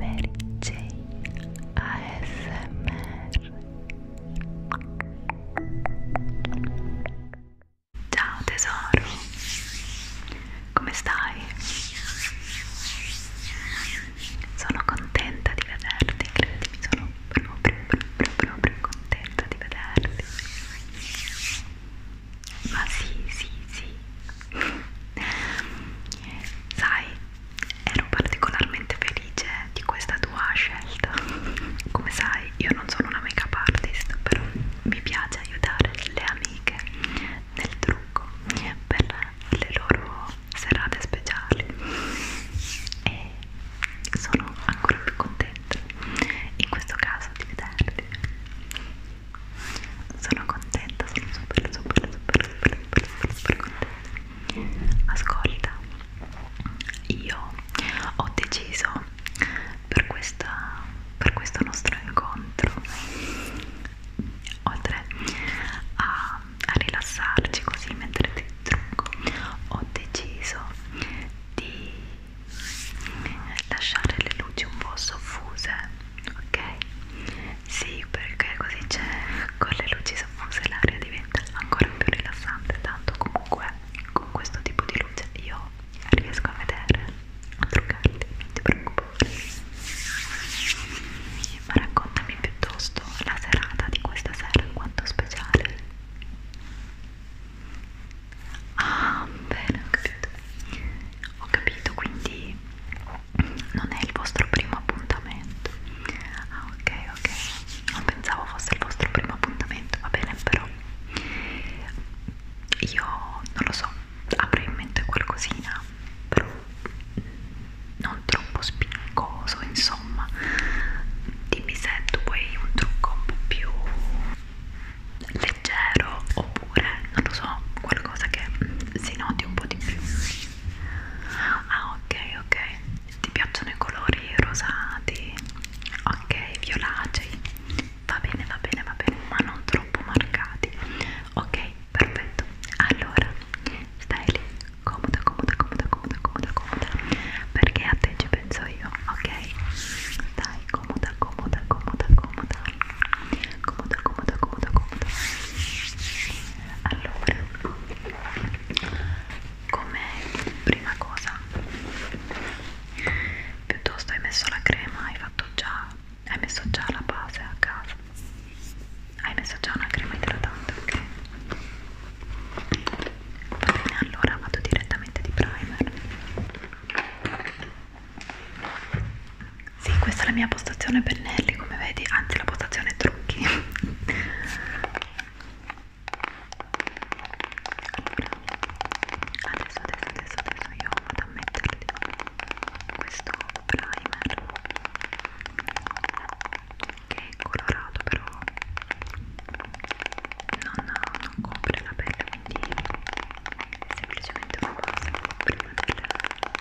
Mary J ASMR Ciao tesoro, come stai? Sono contenta di vederti, credimi, sono proprio, proprio, proprio contenta di vederti. Ma sì, sì, sì, Sai, ero particolarmente felice di questa tua scelta. Come sai, io non sono una make-up artist, però mi piace aiutare le amiche nel trucco per le loro serate speciali e sono ancora più contenta in questo caso di vederti sono contenta, sono super super super super super, super, super contenta ascolta io ho deciso per, questa, per questo nostro incontro oltre a, a rilassarci così mentre ti trucco ho deciso di lasciare le luci un po' soffuse ok sì, perché così c'è con le luci soffuse l'aria diventa ancora più rilassante, tanto comunque con questo tipo di luce io riesco a vedere, a truccarli, non ti preoccupare. Ma raccontami piuttosto la serata di questa sera, quanto speciale. Ah, bene, ho capito. Ho capito, quindi non è il vostro primo appuntamento ah ok ok non pensavo fosse il vostro primo appuntamento va bene però io non lo so avrei in mente qualcosina però non troppo spincoso insomma dimmi se tu vuoi un trucco un po' più leggero oppure non lo so qualcosa che si noti un po' di più ah ok ok ti piacciono i colori rosati ok violacei va bene va bene va bene ma non troppo marcati ok perfetto allora stai lì comoda comoda comoda comoda comoda comoda perché a te ci penso io ok dai comoda comoda comoda comoda comoda, comoda, comoda, comoda. Allora, come prima cosa, piuttosto hai messo la crema, hai fatto già, hai messo già la base a casa, hai messo già una crema idratante, ok? Va bene, allora vado direttamente di primer. Sì, questa è la mia postazione pennelli, come vedi, anzi la postazione trucchi. Allora, adesso, adesso, adesso, adesso io vado a metterti questo primer che è colorato però non, non copre la pelle, quindi è semplicemente una base prima del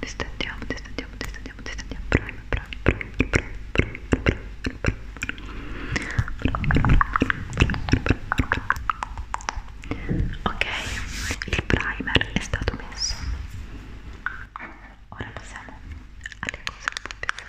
Distendiamo, distendiamo, distendiamo, distendiamo. Bravo, bravo, bravo, bravo, bravo, bravo, bravo, bravo, bravo. Ok, il primer è stato messo. Ora passiamo alle cose un po' più serie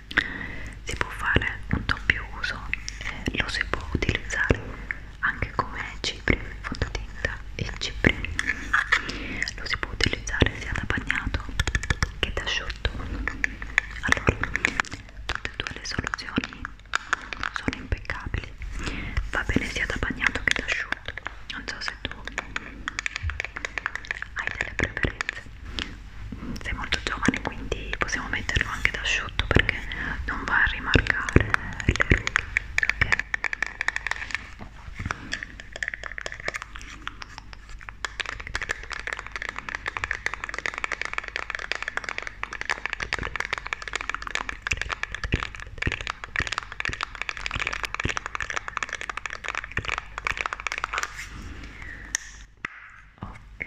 si può fare un doppio uso e lo si può utilizzare anche come cipria fondotinta e cipria lo si può utilizzare sia da bagnato che da asciutto allora tutte e due le soluzioni sono impeccabili va bene sia da bagnato che da asciutto non so se tu hai delle preferenze sei molto giovane quindi possiamo metterlo anche da asciutto perché non va a rimarcare le rughe ok ok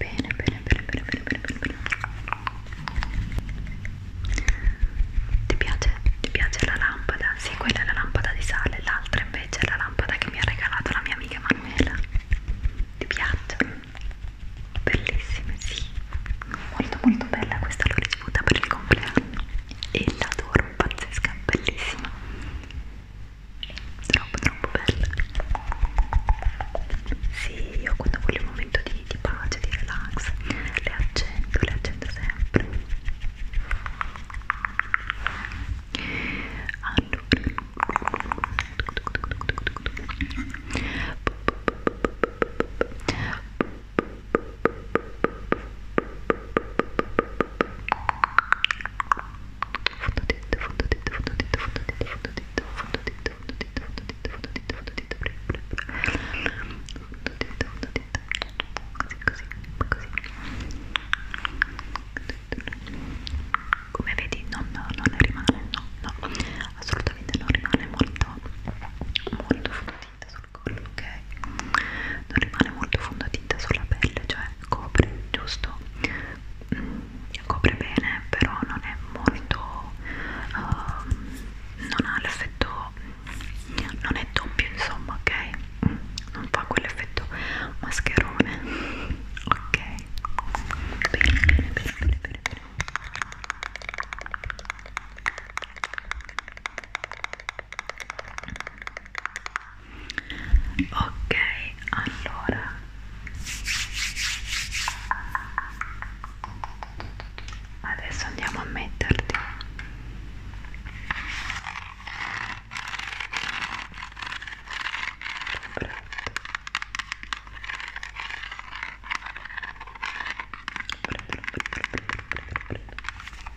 bene bene bene bene bene bene bene ti piace? ti piace la lampada? sì quella è la lampada di sale l'altra invece è la lampada che mi ha regalato la mia amica Manuela ti piacciono? bellissime sì molto molto bella questa l'ho ricevuta per il compleanno e l'adoro pazzesca, bellissima troppo troppo bella sì, io quando voglio un momento di, di pace, di relax le accendo, le accendo sempre allora Fondotinte, fondotinte, fondotinte, fondotinte, fondotinte, fondotinte, fondotinte, fondotinte, fondotinte, fondotinte, fondotinte, fondotinte, così, così, così. Come vedi non, non rimane, no, no, assolutamente non rimane molto, molto fondotinte fondotinta sul collo, ok? Non rimane molto fondotinta sulla pelle, cioè copre, giusto? Mm, copre bene, però non è molto... Uh, non ha l'effetto... non è doppio, insomma, ok? Mm, non fa quell'effetto mascherone, ok? Bene, bene, bene, bene, bene, bene ok allora adesso andiamo a metterti Prendo, prendo, prendo, prendo, prendo, prendo.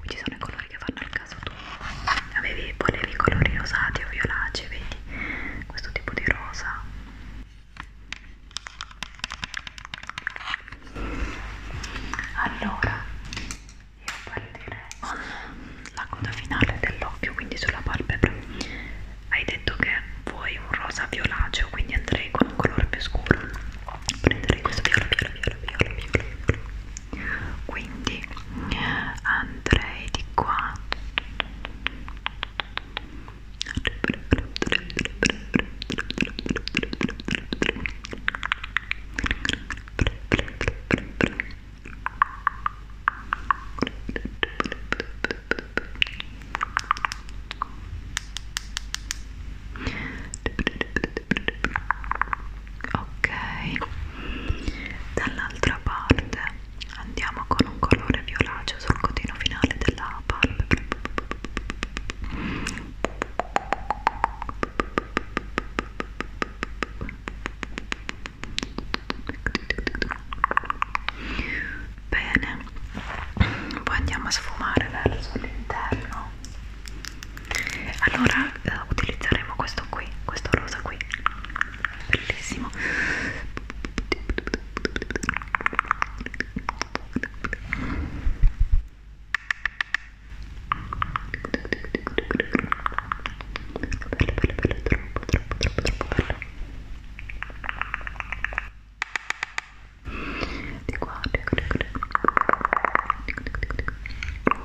qui ci sono i colori che fanno al caso tu avevi volevi i colori rosati o violacei vedi questo tipo di rosa allora io partirei con la coda finale dell'occhio quindi sulla palpebra hai detto che vuoi un rosa violaceo quindi andrei con un colore più scuro prenderei questo viola viola viola viola viola, viola quindi andrei di qua ok dall'altra parte andiamo con un colore violaceo sul codino finale della palpebra bene poi andiamo a sfumare verso l'interno allora eh, utilizzeremo questo qui questo rosa qui bellissimo bello bello bello troppo troppo troppo troppo bello di qua, di qua, di qua, di qua, di qua, di qua, di qua.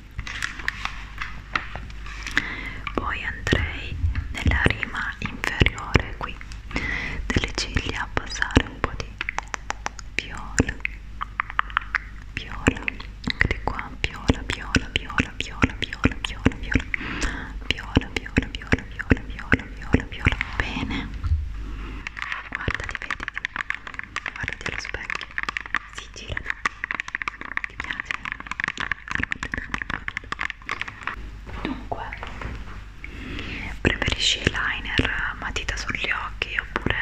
poi andrei nella rima inferiore qui delle ciglia a passare un po' di viola viola anche di qua viola viola viola viola viola viola viola viola viola viola viola viola viola viola bene guardati vedi guardati allo specchio si girano ti piace? Dunque, preferisci il liner matita sugli occhi oppure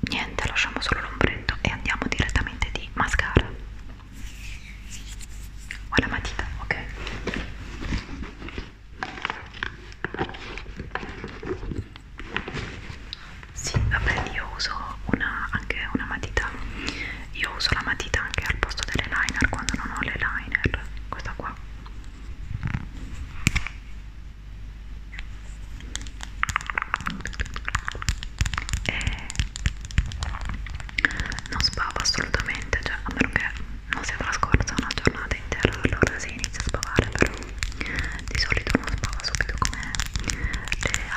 niente, lasciamo solo l'ombretto e andiamo direttamente di mascara o la matita, ok? Sì, vabbè, io uso una, anche una matita. Io uso la matita anche al posto delle liner quando non ho le liner. Questa qua. E non sbava assolutamente, cioè a meno che non sia trascorsa una giornata intera, allora si inizia a sbavare, però di solito non sbava subito come le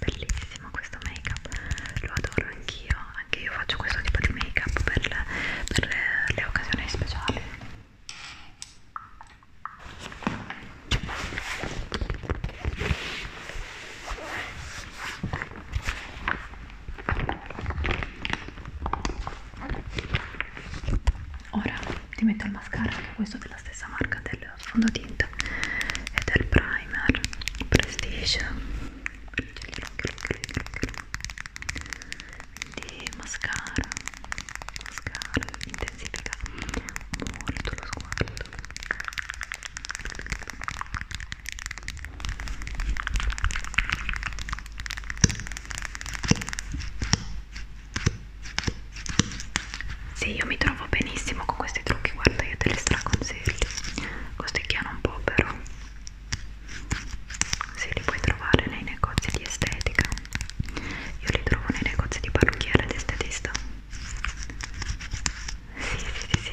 Bellissimo questo make up, lo adoro anch'io, anche io faccio questo tipo di make up per, le, per le, eh, le occasioni speciali ora ti metto il mascara anche questo della stessa marca del fondotinta e del primer prestige quindi mascara mascara intensifica molto lo sguardo sì, io mi trovo benissimo con questi trucchi, guarda, io te li straconsiglio. Costicchiano un po', però. Sì, li puoi trovare nei negozi di estetica. Io li trovo nei negozi di parrucchiere ed estetista. Sì, sì, sì, sì, sì.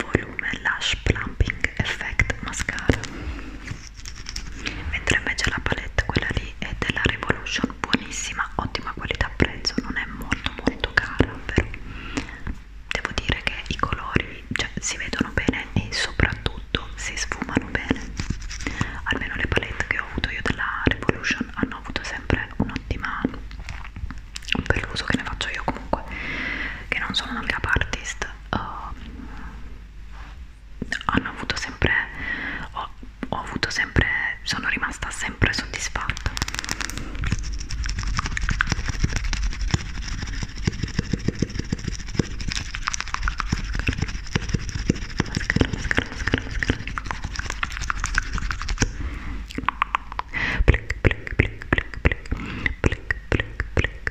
volume Lash Plumping Effect Mascara mentre invece la palette quella lì è della Revolution buonissima, ottima qualità prezzo non è molto molto cara però devo dire che i colori cioè, si vedono bene e soprattutto si sfumano bene almeno le palette che ho avuto io della Revolution hanno avuto sempre un'ottima per l'uso che ne faccio io comunque che non sono una make up artist uh, hanno avuto sempre ho, ho avuto sempre sono rimasta sempre soddisfatta mascara, mascara, mascara, mascara. Blick, blick, blick, blick, blick, blick, blick, blick,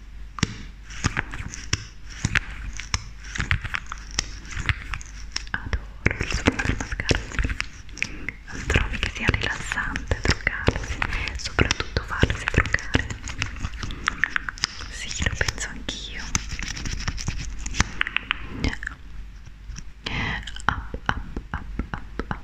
Adoro il suono del mascara. Trovi che sia rilassante truccarsi, soprattutto farsi truccare. Sì, lo penso anch'io. Up, up, up, up, up.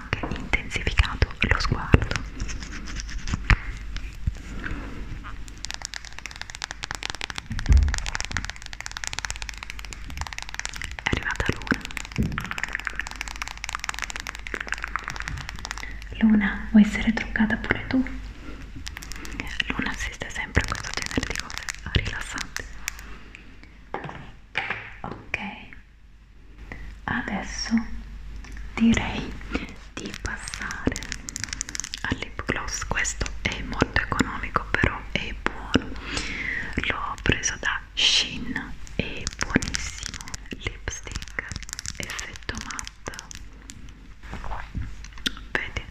anche intensificato lo sguardo. È arrivata Luna. Luna, vuoi essere truccata pure tu? Luna assiste sempre a questo genere di cose rilassanti. Ok, adesso direi di passare all'hip gloss questo è molto economico però è buono l'ho preso da Shin è buonissimo lipstick effetto matte vedi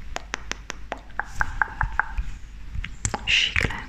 Shiglen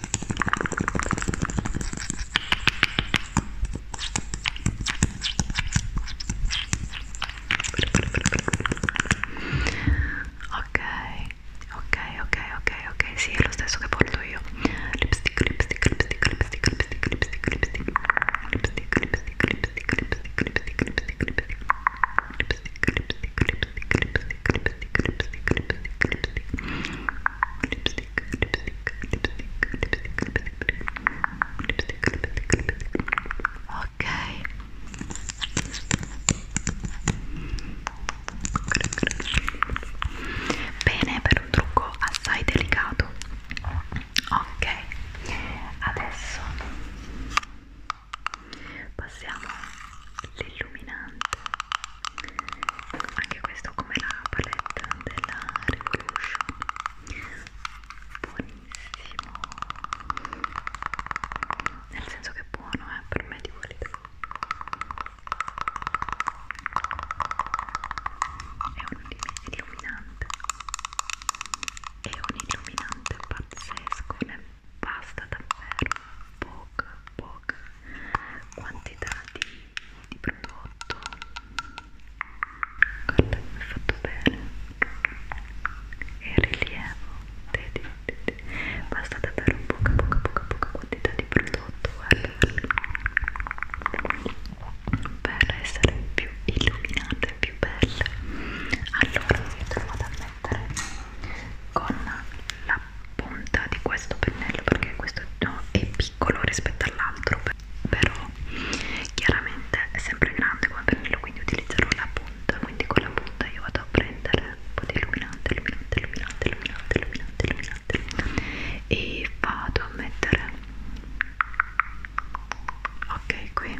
Ok, ok, ok, ok, ok, Sí, lipstick, lo lipstick, porto lipstick, Lipstick, lipstick, lipstick, lipstick, lipstick, lipstick, lipstick Lipstick, lipstick, lipstick, lipstick, lipstick, lipstick, lipstick Lipstick, lipstick, lipstick, lipstick, lipstick, lipstick, lipstick, lipstick, lipstick ok bene per un trucco assai delicato ok adesso passiamo all'illuminante anche questo come la palette della Revolution buonissimo nel senso che è buono eh, per me di qualità è un illuminante è un illuminante pazzesco ne basta davvero poca poca quantità di di prodotto guarda come è fatto bene e il rilievo vedi, vedi. basta davvero poca poca poca poca quantità di prodotto guarda, guarda. per essere più illuminante più belle allora vi trovo da mettere con la punta di questo pennello perché questo no, è più piccolo rispetto all'altro però chiaramente è sempre grande come pennello quindi utilizzerò la punta quindi con la punta io vado a prendere un po' di illuminante illuminante illuminante illuminante illuminante illuminante, illuminante e vado a mettere ok qui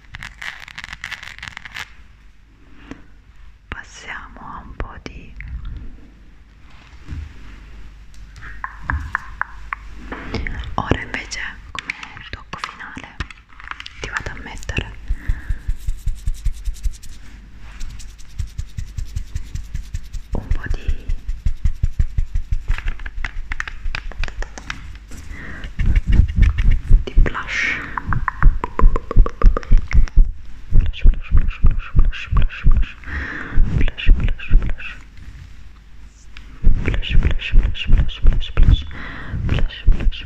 passiamo a un po' di ora invece come tocco finale ti vado a mettere un po' di Die blush. Blush, blush, blush, blush, blush, blush, blush. Blush, blush, blush. Blush, blush, blush, blush, blush, blush. Blush, blush, blush, blush, blush.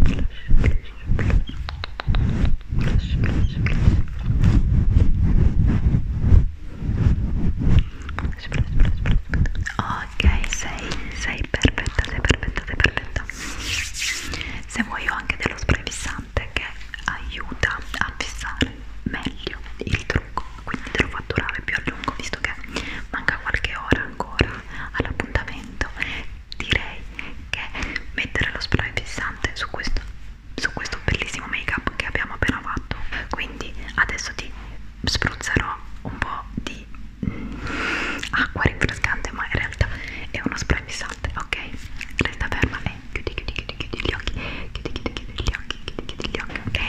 Blush, blush, blush. Blush, blush, blush. Ok, sei, sei perfetta, sei perfetta, sei perfetta. Se vuoi ho anche dello spray fissante che aiuta a fissare meglio il trucco, quindi te lo fa durare più a lungo visto che manca qualche ora ancora all'appuntamento. Direi che mettere lo spray fissante su questo su questo bellissimo make up che abbiamo appena fatto quindi adesso ti vi spruzzerò un po' di acqua rinfrescante ma in realtà è uno spray fissante ok? resta ferma e chiudi chiudi chiudi chiudi gli occhi chiudi chiudi chiudi gli occhi chiudi chiudi gli occhi ok?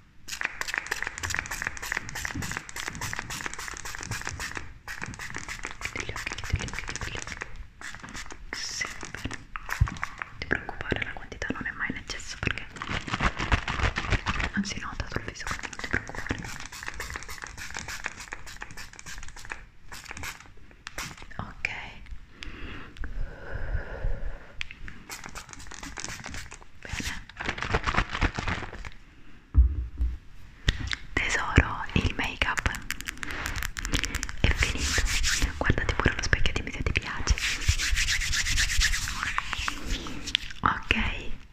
Chiudi gli occhi, chiudi gli occhi, chiudi gli occhi. Sì, bene. Non ti preoccupare, la quantità non è mai in eccesso perché non si nota sul viso, quindi non ti preoccupare. Ok. Bene tesoro il make up è finito guardati pure allo specchio dimmi se ti piace ok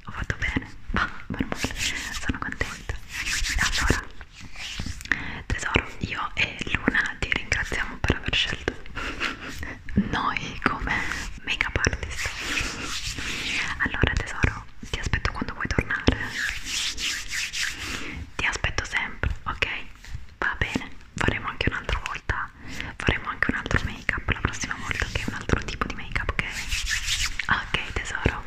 ho fatto bene va sono contenta allora tesoro io e Luna ti ringraziamo per aver scelto noi come make-up artist allora tesoro ti aspetto quando vuoi tornare ti aspetto sempre ok va bene faremo anche un'altra volta faremo anche un altro make up la prossima volta che okay? un altro tipo di make up ok ok tesoro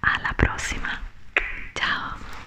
alla prossima ciao